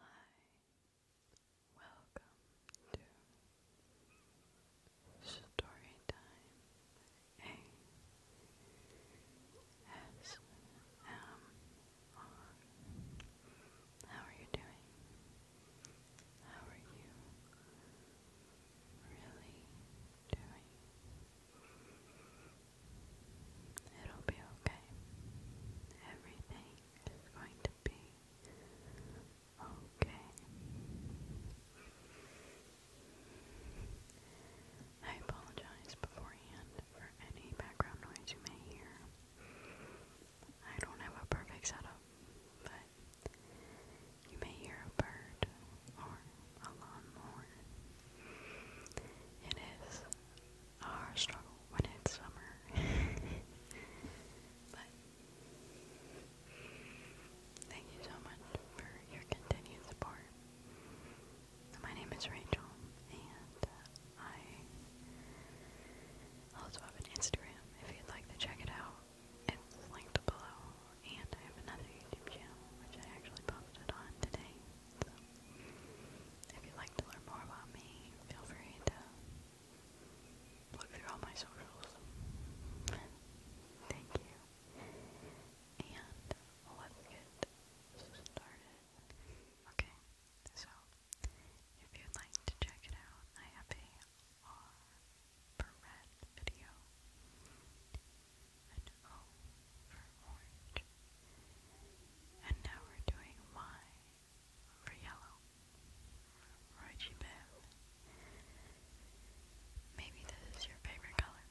Hi, welcome to Story Time A S M R. How are you doing? How are you really doing? It'll be okay. Everything is going to be okay. I apologize beforehand for any background noise you may hear. I don't have a perfect setup, but you may hear a bird or a lawnmower. It is our struggle when it's summer. but thank you so much for your continued support. My name is Rachel, and uh, I also have an Instagram if you'd like to check it out. It's linked below, and I have another YouTube channel which I actually posted on today if you'd like to learn more about me, feel free to look through all my socials. Thank you. And let's get started. Okay, so if you'd like to check it out, I have a R for red video and O for orange. And now we're doing Y for yellow. Roichi Biv. Maybe this is your favorite color.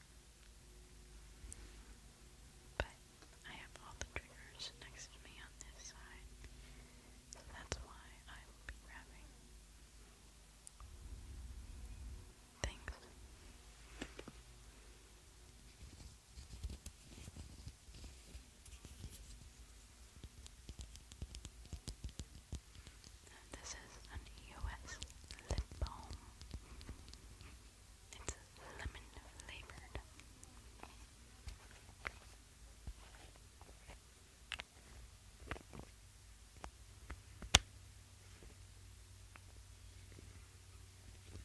But I have all the triggers next to me on this side. that's why I will be grabbing things. And this is an US lip balm. It's lemon flavored.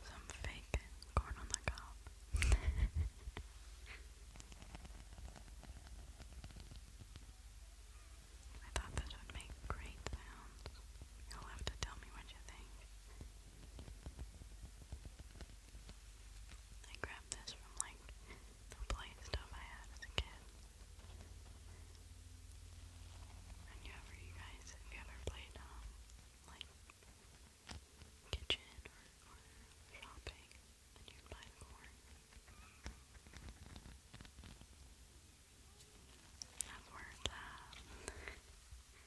Some fake corn on the cob. I thought this would make great sounds. You'll have to tell me what you think. I grabbed this from like the play stuff I had as a kid. And you ever, you guys, have you ever played, um, like, kitchen or, shopping, and you buy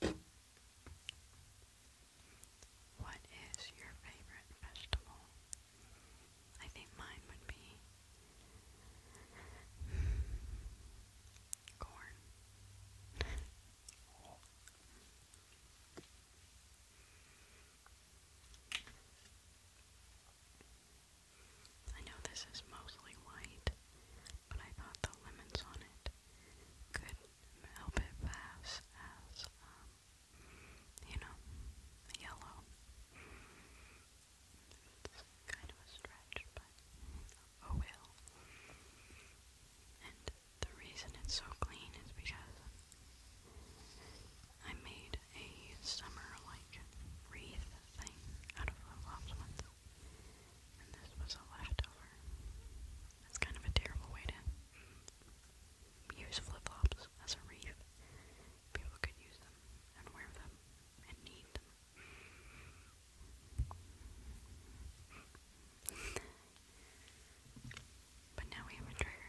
What is your favorite vegetable? I think mine would be corn. I know this is mostly white, but I thought the lemons on it could help it pass as, um, you know, yellow. It's kind of a stretch, but oh well. And the reason it's so clean is because I made a summer like wreath thing out of the and this was a leftover. It's kind of a terrible way to use flip flops as a reef. People could use them and wear them and need them. but now we have a trigger,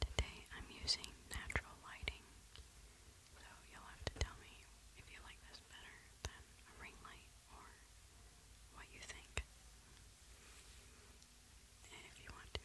Today I'm using natural lighting, so you'll have to tell me if you like this better than ring light or what you think. If you want to.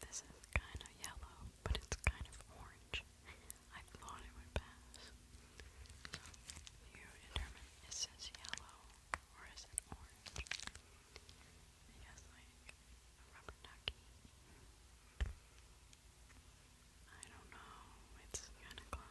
This is kind of yellow, but it's kind of orange. I thought it would pass. you determine is this yellow or is it orange? Because, like, a rubber ducky. I don't know, it's kind of close.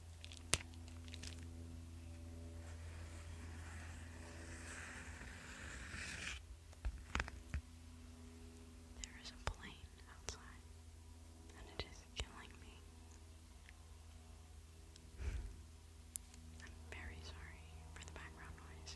There is a plane outside, and it is killing me. I'm very sorry for the background noise.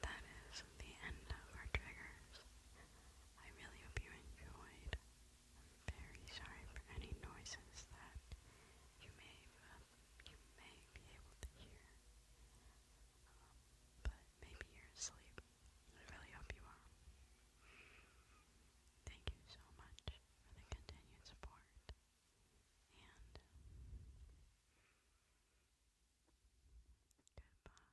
That is the end of our triggers. I really hope you enjoyed. I'm very sorry for any noises that you may you may be able to hear. Um, but maybe you're asleep. I really hope you are. Thank you so much for the continued support and goodbye.